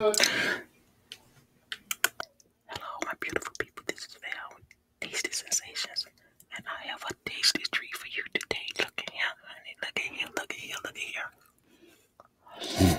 Hello, my beautiful people. This is Val Tasty Sensations, and I have a tasty treat for you today. Look at here, honey. Look at here. Look at here. Look at here.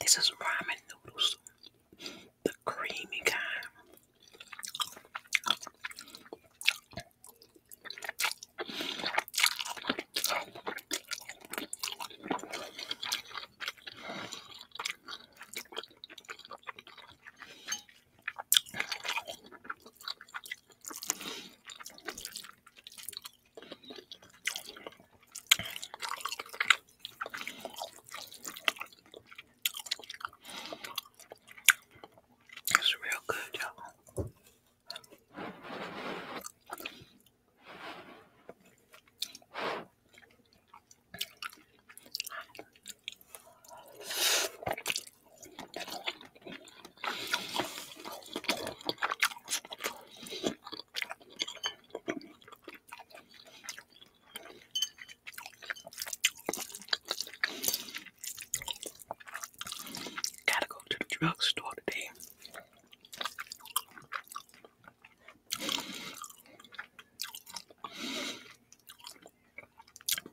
This is ramen noodles, the creamy kind. It's real good, y'all. Gotta go to the drugstore today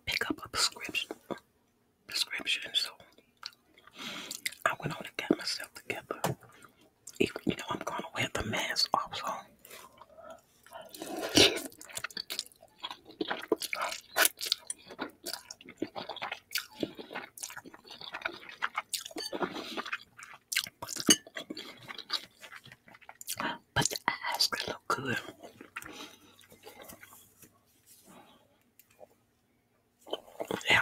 pick up a prescription. Prescription. So I went on and got myself together. you know, I'm gonna wear the mask also. But the eyes look good. Yeah.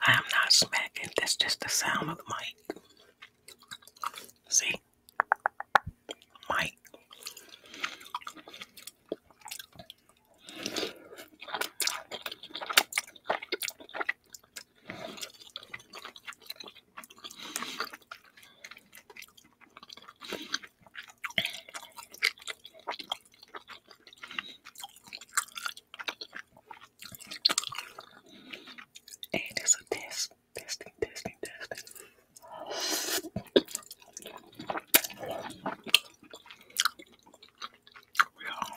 I am not smacking, that's just the sound of the See? Mic. And it's a test, testing, testing, testing. We are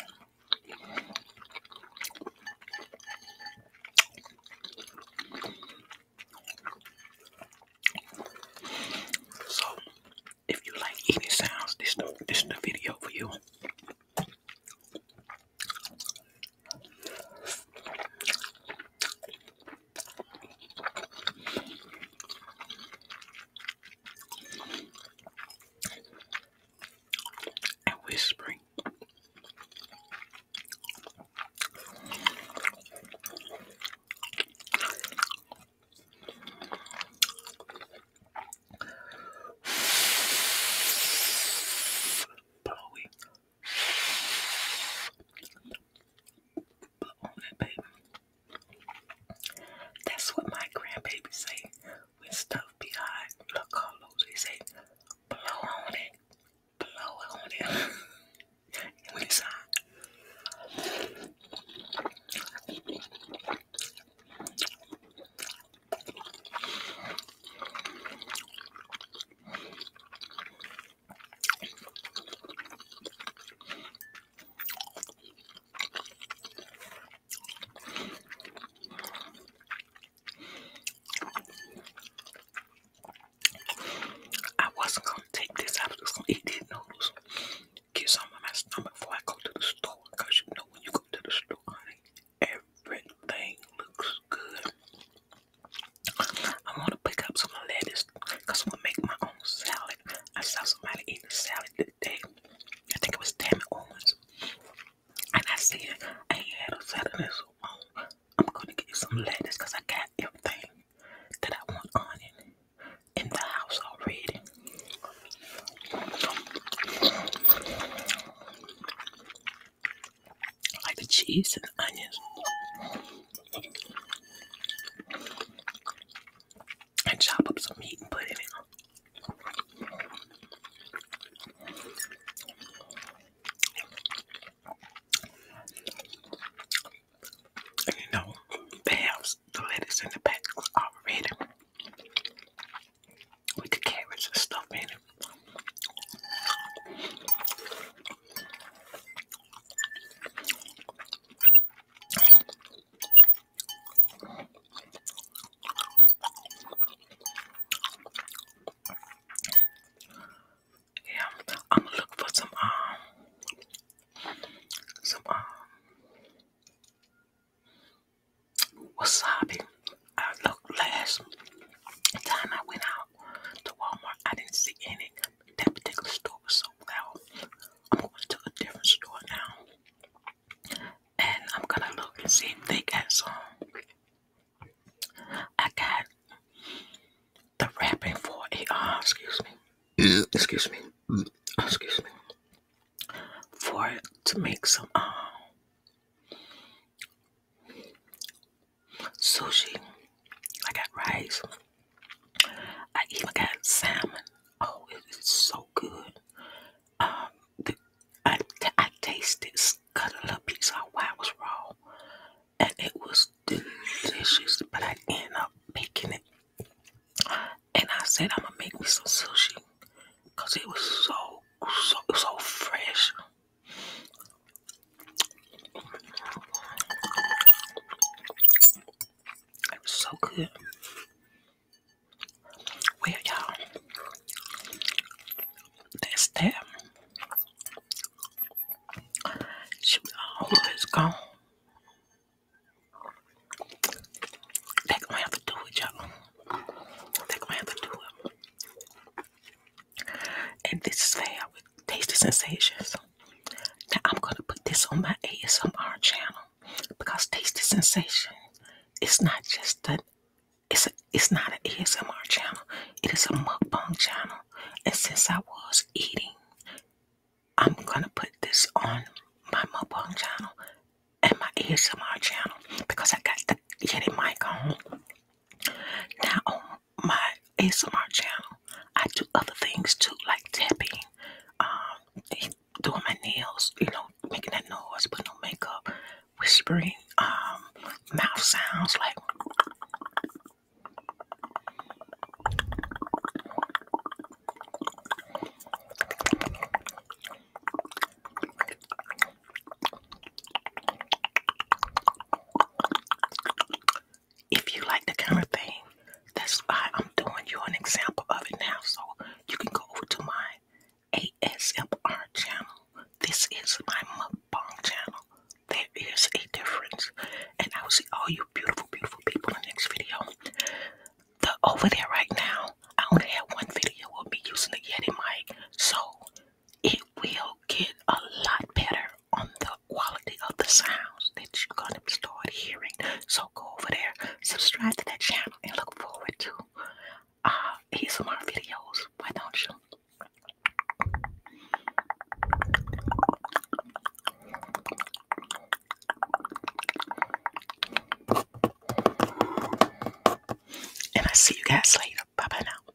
so, if you like eating sounds, this this is the video for you and whispering. Blowy. But it, baby. That's what my grandbaby say when stuff be hot. Look, Carlos, they say, blow on it, blow on it. and when it's hot. I wasn't gonna take this, I was just gonna eat these noodles. Get some of my stomach before I go to the store. Cause you know when you go to the store, everything looks good. I wanna pick up some lettuce because Cause I'm gonna make my own salad. I saw somebody eating salad today. I think it was Tammy Owens. And I said, I ain't had a salad in so long. I'm gonna get some lettuce because I got everything that I want on it in the house already. like the cheese and the onions and chop up some meat and put it in you know, perhaps the lettuce in the back was already with the carrots and stuff in it. Yeah, I'm gonna look for some um some um wasabi. I looked last time I went out to Walmart, I didn't see any that particular store was so loud. I'm going to a different store now, and I'm gonna look and see if they got some. I got the wrapping for a Ah, uh, excuse me, excuse me, uh, excuse me, for to make some um sushi. I got rice. I even got salmon. Oh, it's so good. Um, I, I tasted, cut a little I was raw, and it was delicious. But I ended up making it, and I said I'm gonna make me some sushi, cause it was so so so fresh. It so good. Well, y'all, that's that. Shoot, is gone. They're gonna have to do it, y'all. They're gonna have to do it. And this is fab Tasty Sensations. Now I'm gonna put this on my ASMR channel because Tasty Sensation It's not just an it's a, it's not an ASMR channel. It is a mukbang channel. And since I was eating, I'm gonna put this on my mukbang channel and my ASMR channel because I got the Yeti mic on. Now on um, my ASMR channel, I do other things too, like tapping, um, doing my nails, you know, making that noise, putting on makeup, whispering, um, mouth sounds like if you like the kind of thing, that's why I'm doing you an example of it now. So you can go over to my ASMR channel. This is my mukbang channel. There is a difference. And I will see all you beautiful, beautiful people in the next video. The over there right now, I only have one video of me using the Yeti mic. So it will get a lot better on the quality of the sounds that you're going to start hearing. So go over there, subscribe to that channel, and look forward to uh, ASMR videos. Why don't you? And I see you guys later. Bye bye now.